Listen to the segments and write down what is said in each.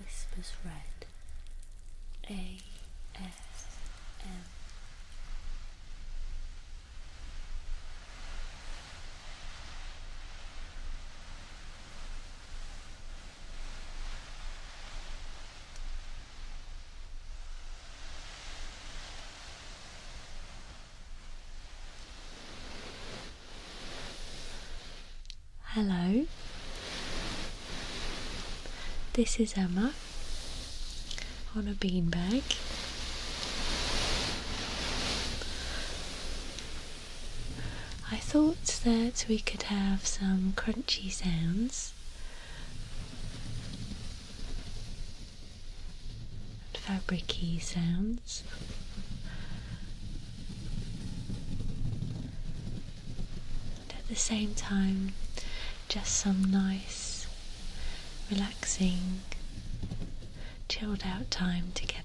Whispers Red A S M Hello, this is Emma on a beanbag. I thought that we could have some crunchy sounds and fabricy sounds and at the same time, just some nice, relaxing, chilled out time together,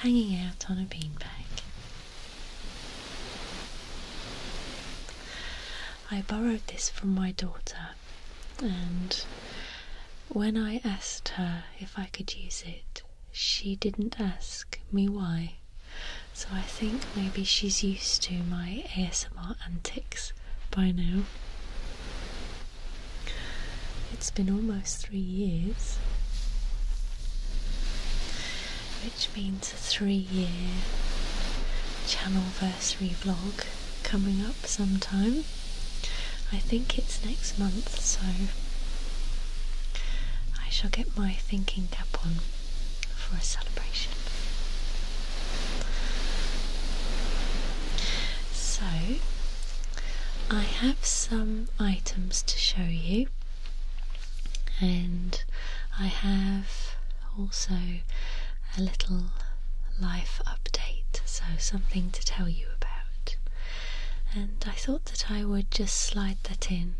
hanging out on a beanbag. I borrowed this from my daughter, and when I asked her if I could use it, she didn't ask me why. So I think maybe she's used to my ASMR antics by now. It's been almost three years, which means a three year channel channelversary vlog coming up sometime. I think it's next month, so I shall get my thinking cap on for a celebration. So, I have some items to show you, and I have also a little life update, so something to tell you about and I thought that I would just slide that in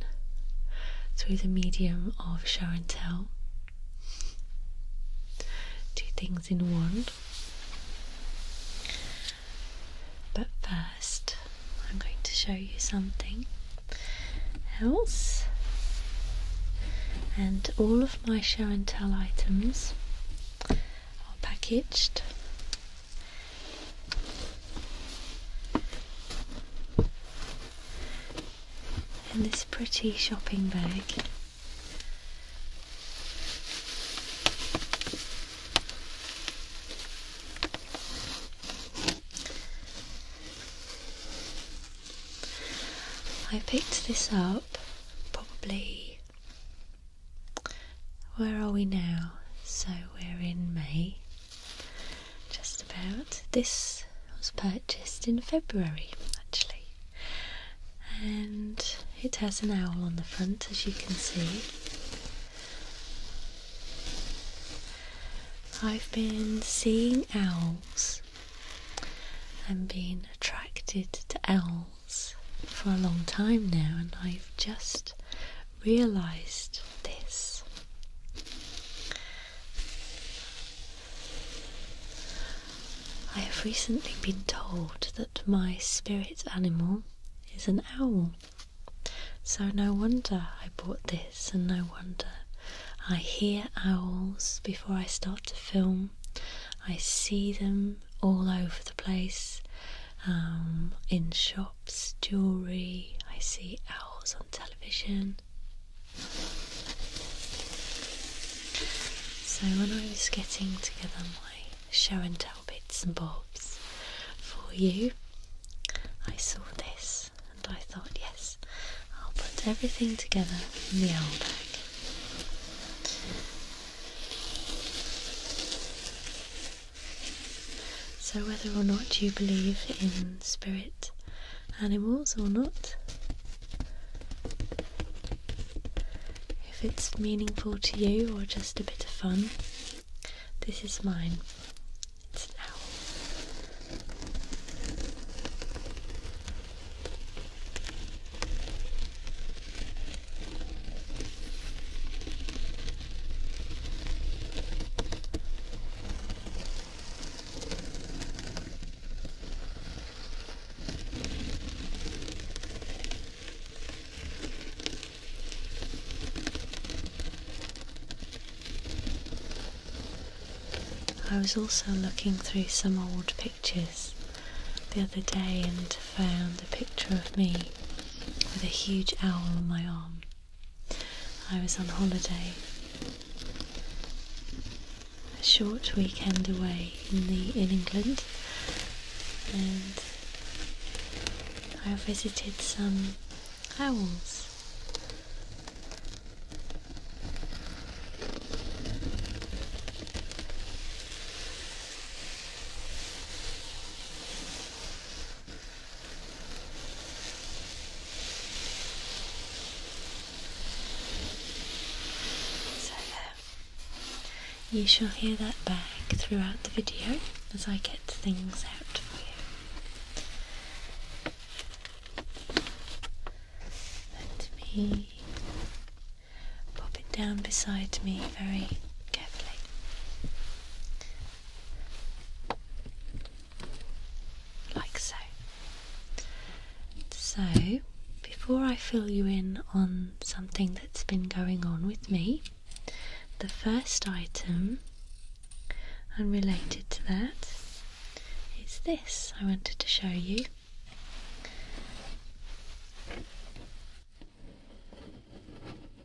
through the medium of show and tell. Two things in one. But first, I'm going to show you something else. And all of my show and tell items are packaged in this pretty shopping bag. I picked this up probably. Where are we now? So we're in May. Just about. This was purchased in February actually, and it has an owl on the front as you can see. I've been seeing owls and been attracted to owls for a long time now, and I've just realized this. I have recently been told that my spirit animal is an owl, so no wonder I bought this, and no wonder I hear owls before I start to film. I see them all over the place, um, in shops shops, jewellery, I see owls on television. So, when I was getting together my show and tell bits and bobs for you, I saw this and I thought, yes, I'll put everything together in the owl bag. So, whether or not you believe in spirit animals or not, if it's meaningful to you or just a bit of fun, this is mine. It's an I was also looking through some old pictures the other day and found a picture of me with a huge owl on my arm. I was on holiday, a short weekend away in the in England, and I visited some owls. So uh, you shall hear that bag throughout the video as I get things out for you. Let me pop it down beside me very carefully like so. So, before I fill you in on something that's been going on with me, the first item and related to that is this I wanted to show you.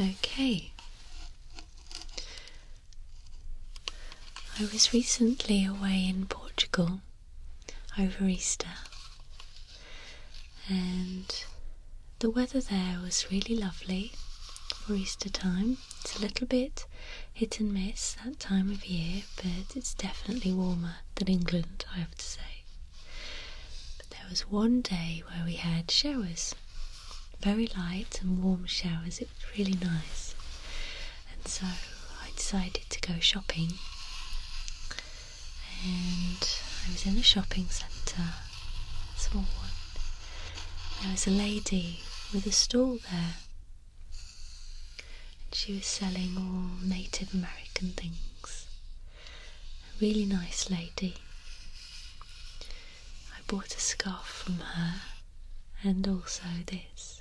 Okay. I was recently away in Portugal over Easter, and the weather there was really lovely for Easter time. It's a little bit hit and miss that time of year, but it's definitely warmer than England, I have to say. But there was one day where we had showers, very light and warm showers. It was really nice, and so I decided to go shopping. And I was in a shopping centre, small one. There was a lady with a stall there and she was selling all Native American things. A really nice lady. I bought a scarf from her and also this.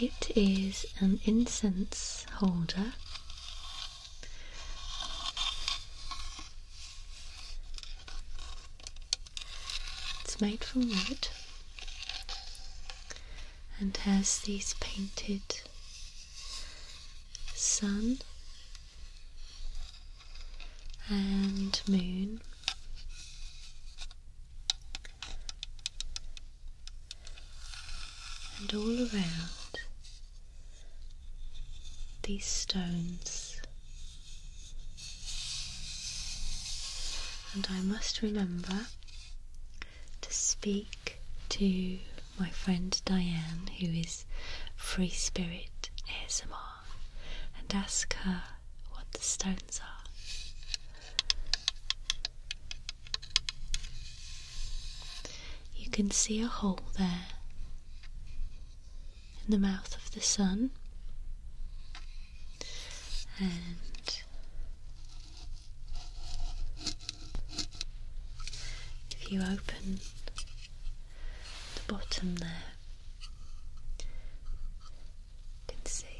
It is an incense holder. It's made from wood and has these painted sun and moon and all around these stones. And I must remember to speak to my friend Diane, who is Free Spirit ASMR, and ask her what the stones are. You can see a hole there in the mouth of the sun, and if you open the bottom there, can see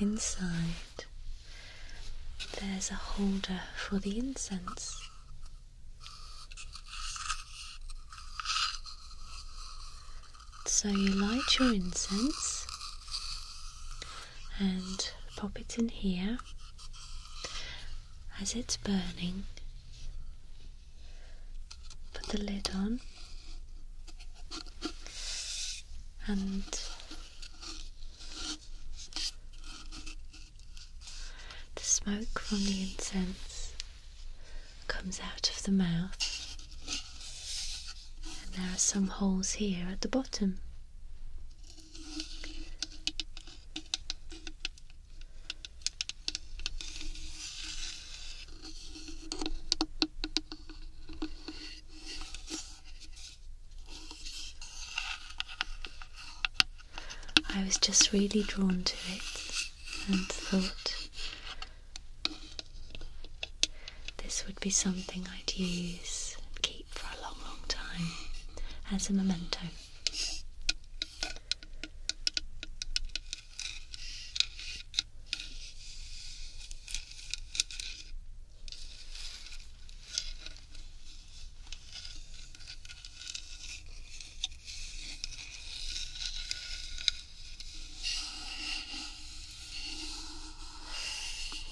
Inside, there's a holder for the incense. So you light your incense and pop it in here. As it's burning, put the lid on and the smoke from the incense comes out of the mouth and there are some holes here at the bottom I was just really drawn to it and thought this would be something I'd use and keep for a long, long time as a memento.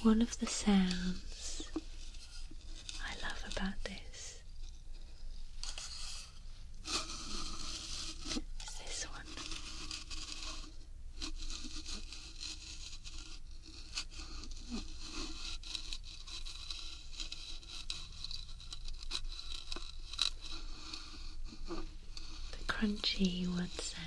One of the sounds I love about this is this the crunchy wood sound.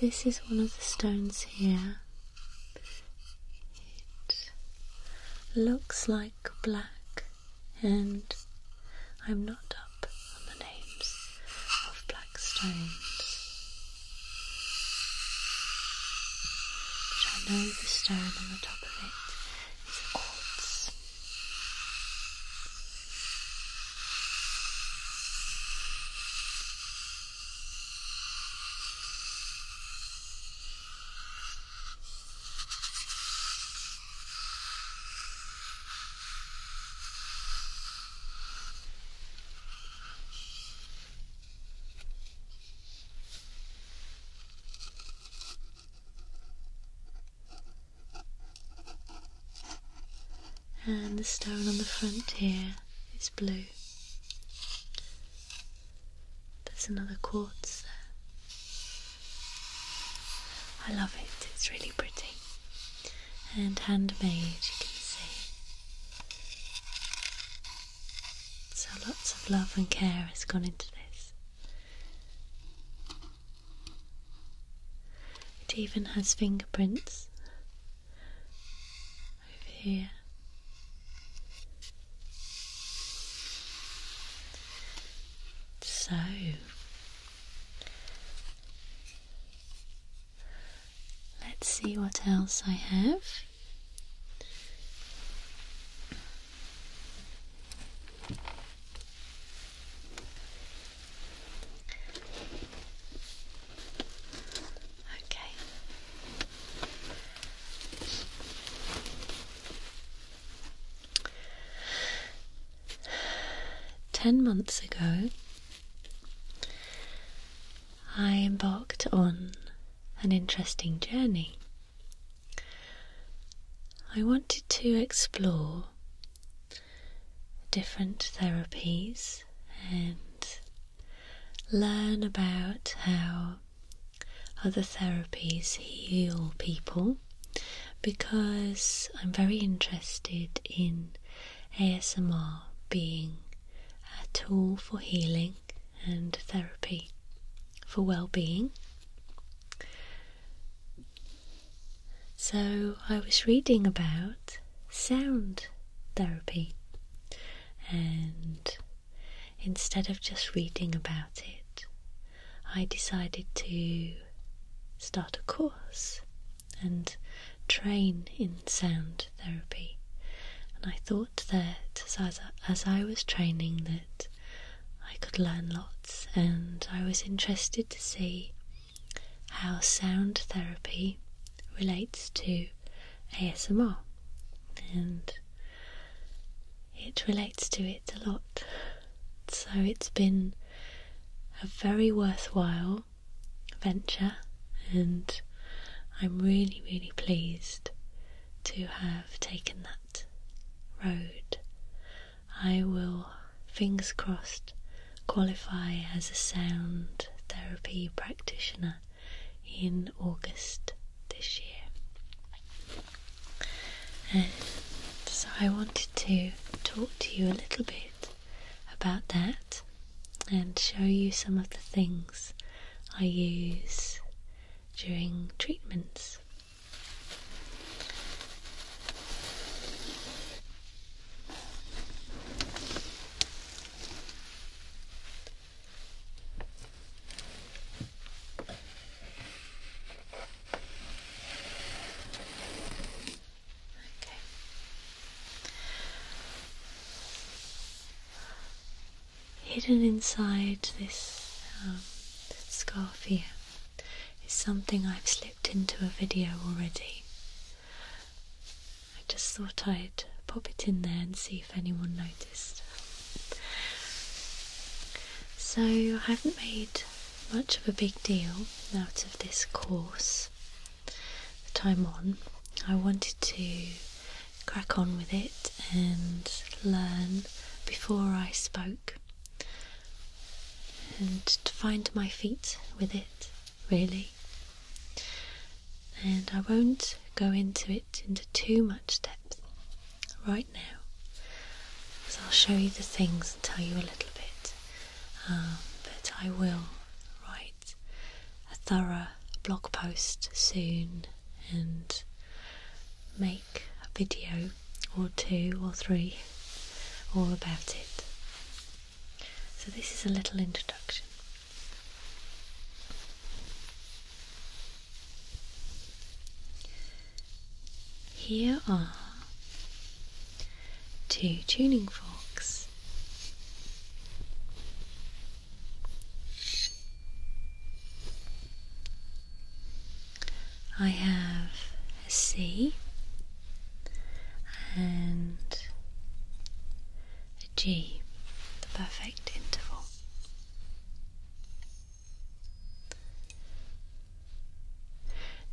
This is one of the stones here. It looks like black, and I'm not up on the names of black stones. But I know the stone on the top of it is a quartz. And the stone on the front here is blue. There's another quartz there. I love it, it's really pretty. And handmade, you can see. So lots of love and care has gone into this. It even has fingerprints over here. So let's see what else I have. Okay. Ten months ago, I embarked on an interesting journey. I wanted to explore different therapies and learn about how other therapies heal people because I'm very interested in ASMR being a tool for healing and therapy for well being. So, I was reading about sound therapy, and instead of just reading about it, I decided to start a course and train in sound therapy. And I thought that as as I was training that I could learn lots and I was interested to see how sound therapy relates to ASMR and it relates to it a lot. So it's been a very worthwhile venture and I'm really really pleased to have taken that road. I will, fingers crossed, qualify as a sound therapy practitioner in August this year. so I wanted to talk to you a little bit about that and show you some of the things I use during treatments. Okay hidden inside this um, scarf here is something I've slipped into a video already. I just thought I'd pop it in there and see if anyone noticed. So I haven't made much of a big deal out of this course that I'm on. I wanted to crack on with it and learn before I spoke and to find my feet with it, really. And I won't go into it into too much depth right now, as I'll show you the things and tell you a little bit. Um, but I will write a thorough blog post soon and make a video or two or three all about it. So, this is a little introduction. Here are two tuning forks. I have a C and a G, the perfect interval.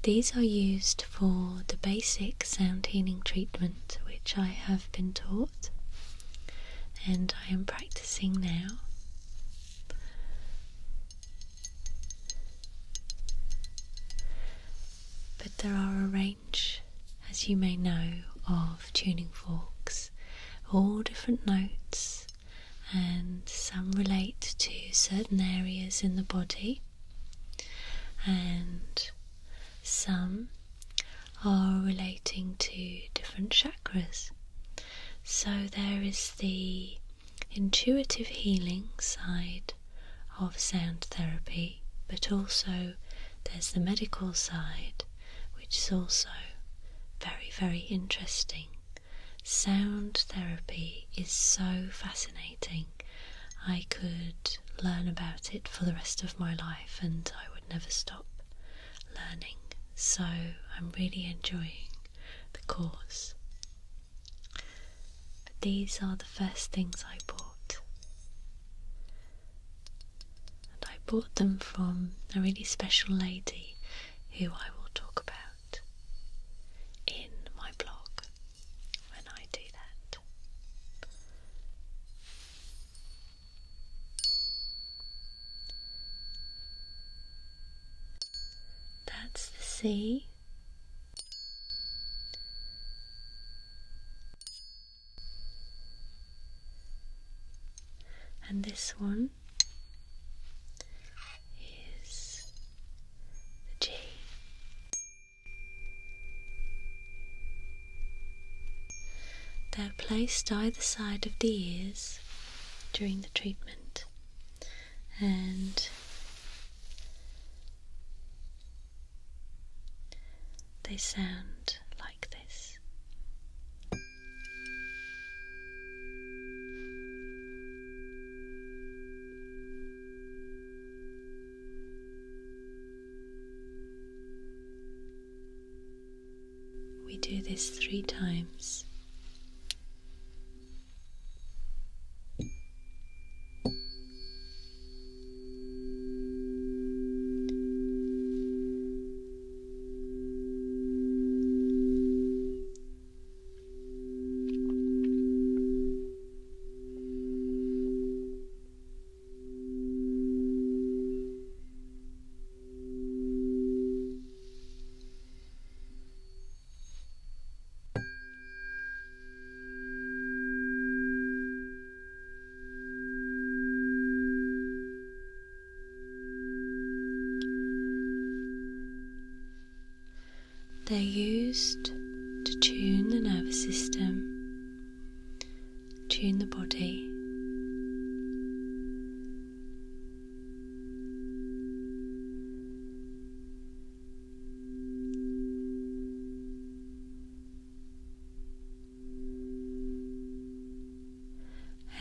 These are used for the basic sound healing treatment which I have been taught and I am practicing now. But there are a range, as you may know, of tuning forks, all different notes, and some relate to certain areas in the body, and some are relating to different chakras. So there is the intuitive healing side of sound therapy, but also there's the medical side, which is also very, very interesting. Sound therapy is so fascinating. I could learn about it for the rest of my life and I would never stop learning, so I'm really enjoying the course. But these are the first things I bought, and I bought them from a really special lady who I will talk about in my blog when I do that. That's the C, And this one is the G. They're placed either side of the ears during the treatment and they sound like this. We do this three times. They're used to tune the nervous system, tune the body,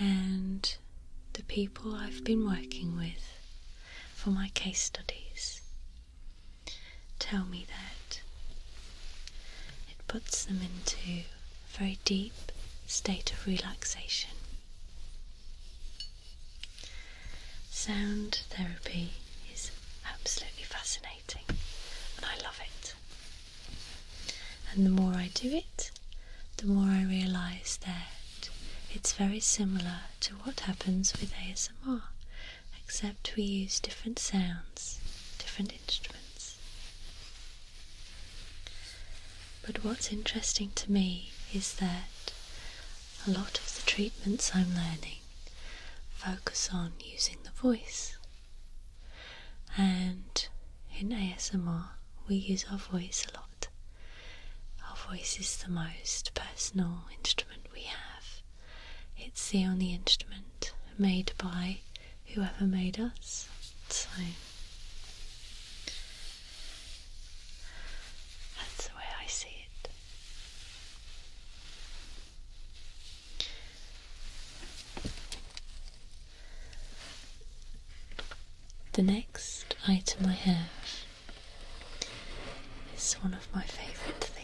and the people I've been working with for my case studies tell me that it puts them into very deep state of relaxation. Sound therapy is absolutely fascinating and I love it. And the more I do it, the more I realise that it's very similar to what happens with ASMR, except we use different sounds, different instruments. But what's interesting to me is that a lot of the treatments I'm learning focus on using the voice. And in ASMR, we use our voice a lot. Our voice is the most personal instrument we have. It's the only instrument made by whoever made us so that's the way I see it. The next item I have is one of my favourite things.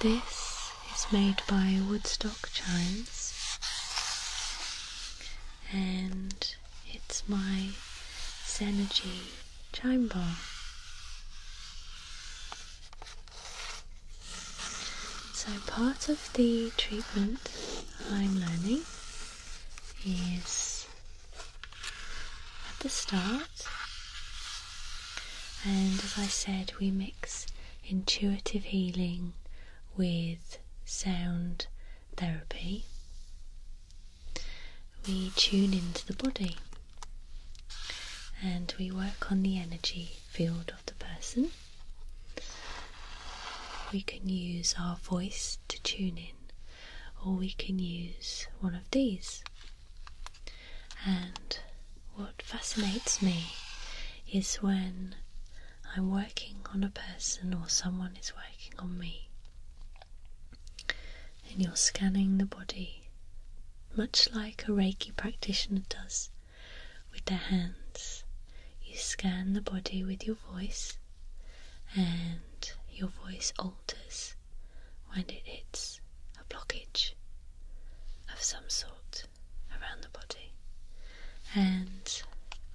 This is made by Woodstock Chimes and it's my Synergy chime bar. So, part of the treatment I'm learning is at the start, and as I said, we mix intuitive healing with sound therapy. We tune into the body and we work on the energy field of the person. We can use our voice to tune in, or we can use one of these. And what fascinates me is when I'm working on a person or someone is working on me, and you're scanning the body, much like a Reiki practitioner does. With the hands, you scan the body with your voice, and your voice alters when it hits a blockage of some sort around the body. And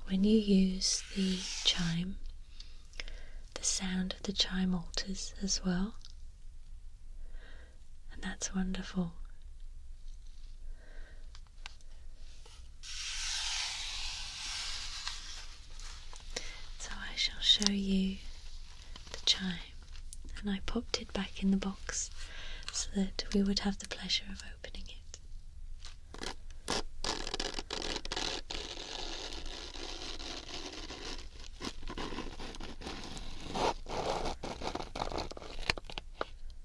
when you use the chime, the sound of the chime alters as well and that's wonderful. So I shall show you the chime, and I popped it back in the box so that we would have the pleasure of opening it.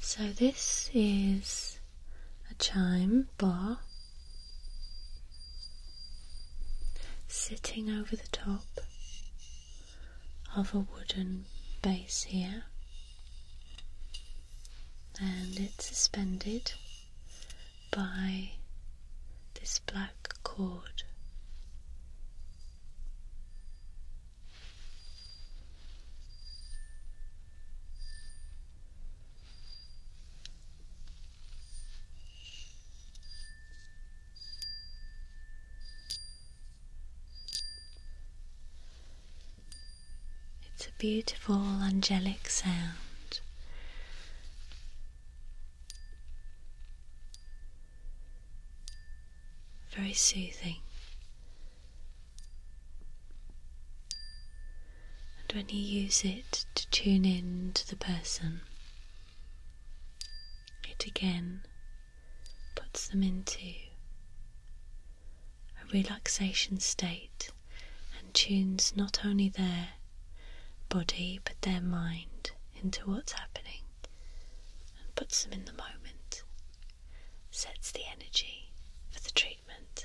So, this is a chime bar sitting over the top of a wooden base here, and it's suspended by this black cord. It's a beautiful angelic sound. Very soothing and when you use it to tune in to the person, it again puts them into a relaxation state and tunes not only their body but their mind into what's happening and puts them in the moment, sets the energy for the treatment treatment.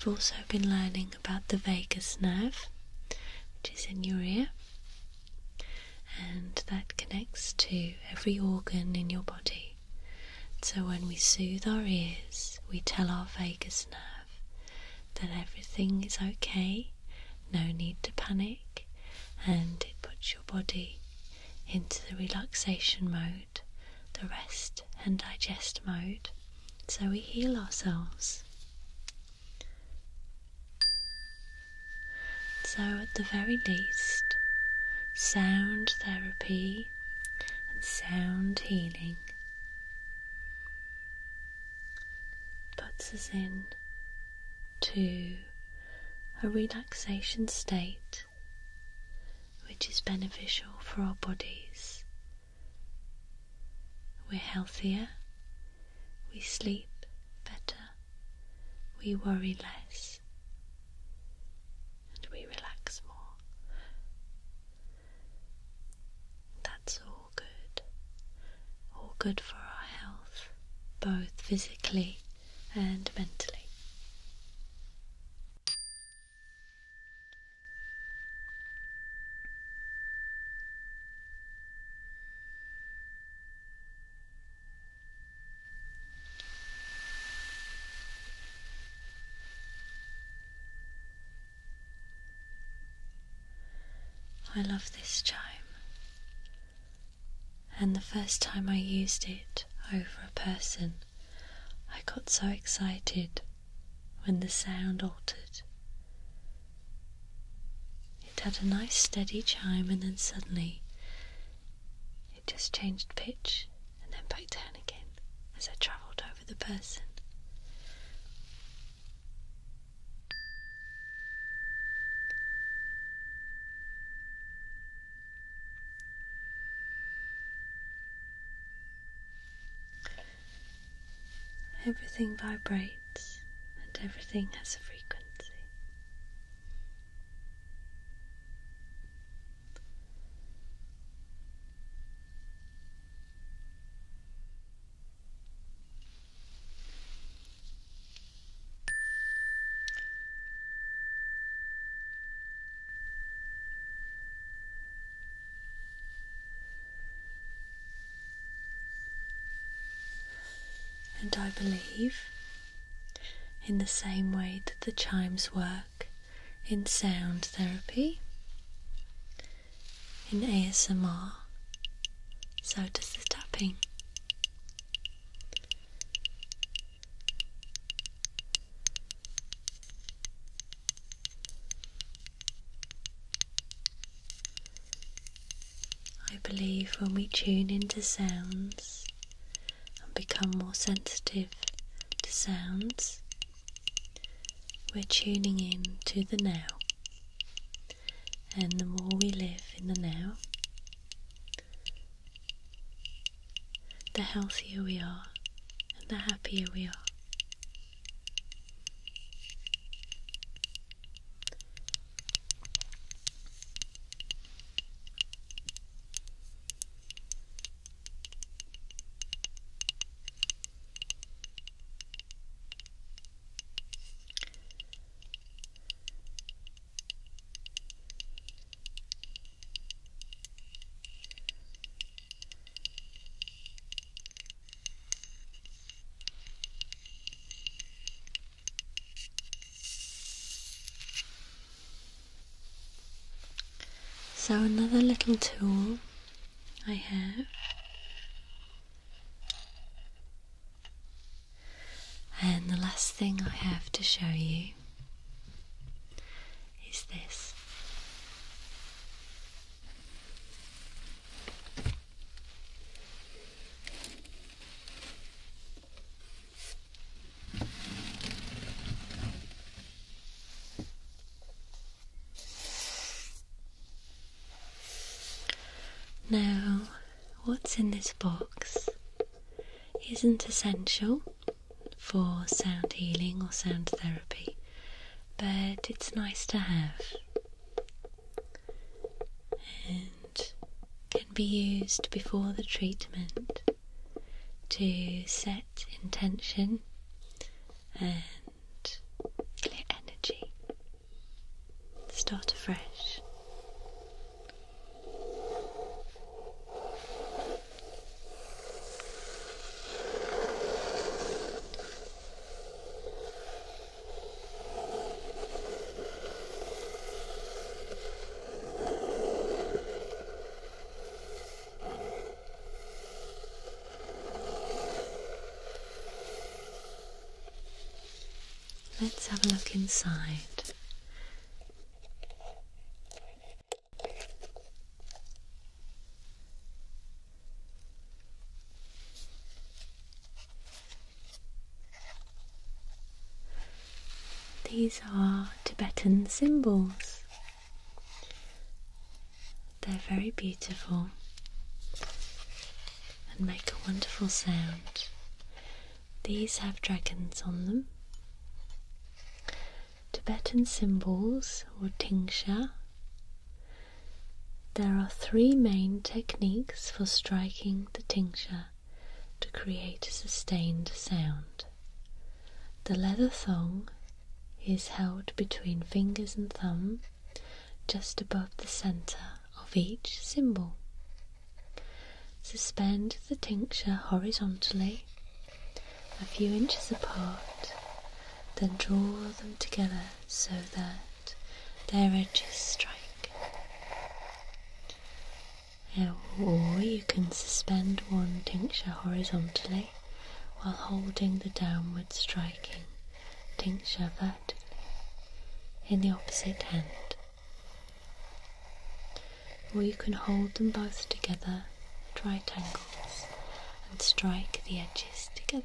I've also been learning about the vagus nerve, which is in your ear, and that connects to every organ in your body. So, when we soothe our ears, we tell our vagus nerve that everything is okay, no need to panic, and it puts your body into the relaxation mode the rest and digest mode, so we heal ourselves. So, at the very least, sound therapy and sound healing puts us in to a relaxation state which is beneficial for our bodies. We're healthier, we sleep better, we worry less, and we relax more. That's all good, all good for our health, both physically and mentally. I love this chime, and the first time I used it over a person, I got so excited when the sound altered. It had a nice steady chime, and then suddenly it just changed pitch and then back down again as I travelled over the person. Everything vibrates and everything has a frequency. And I believe, in the same way that the chimes work in sound therapy, in ASMR, so does the tapping. I believe when we tune into sounds and become more sensitive to sounds, we're tuning in to the now. And the more we live in the now, the healthier we are and the happier we are. So, another little tool I have and the last thing I have to show you is this. Now, what's in this box isn't essential, for sound healing or sound therapy, but it's nice to have and can be used before the treatment to set intention and clear energy. Start afresh. Let's have a look inside. These are Tibetan symbols. They're very beautiful and make a wonderful sound. These have dragons on them, Tibetan cymbals or tingsha. There are three main techniques for striking the tingsha to create a sustained sound. The leather thong is held between fingers and thumb, just above the center of each symbol. Suspend the tincture horizontally a few inches apart, then draw them together so that their edges strike. Or you can suspend one tincture horizontally while holding the downward striking tincture vertically in the opposite hand or you can hold them both together at right angles and strike the edges together.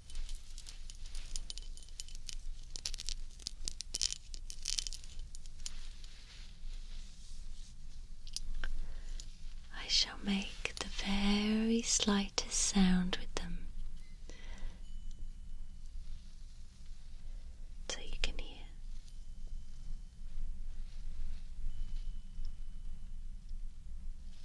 I shall make the very slightest sound with them so you can hear.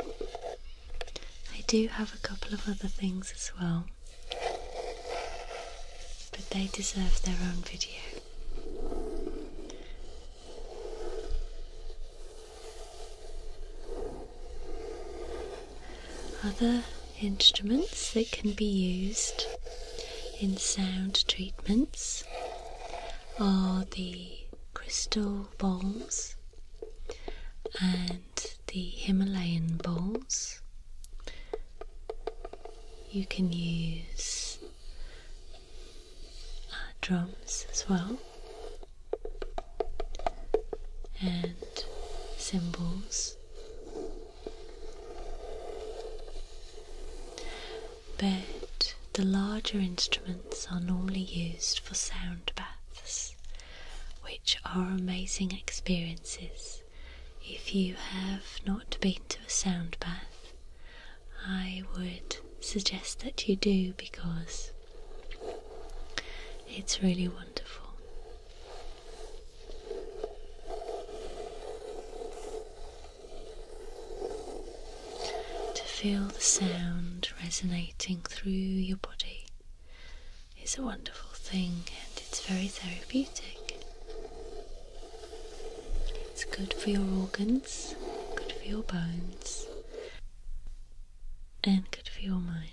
I do have a couple of other things as well, but they deserve their own video. Other instruments that can be used in sound treatments are the crystal Bengal and the Himalayan bowls. You can use uh, drums as well and cymbals. But the larger instruments are normally used for sound baths which are amazing experiences. If you have not been to a sound bath, I would suggest that you do because it's really wonderful. To feel the sound resonating through your body it's a wonderful thing and it's very therapeutic. It's good for your organs, good for your bones, and good for your mind.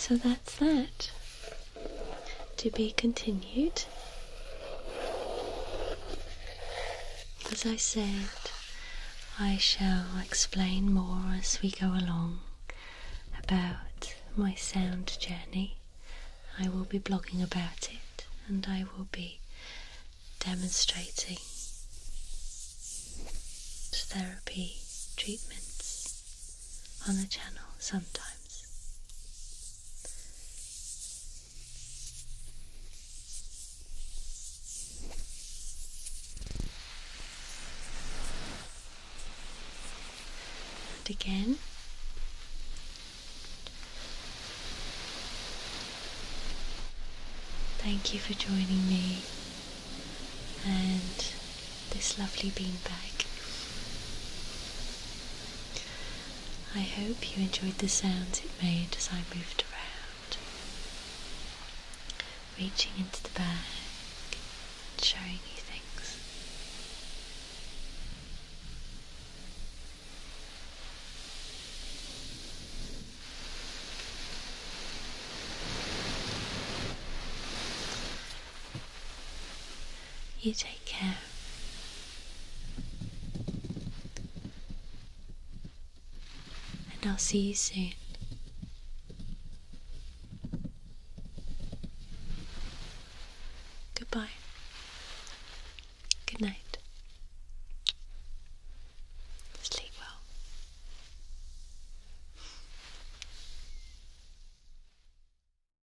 So that's that. To be continued. As I said, I shall explain more as we go along about my sound journey. I will be blogging about it and I will be demonstrating therapy treatments on the channel sometimes. And again. Thank you for joining me and this lovely beanbag. I hope you enjoyed the sounds it made as I moved around, reaching into the bag and showing you things. You take care. And I'll see you soon. Goodbye. Good night. Sleep well.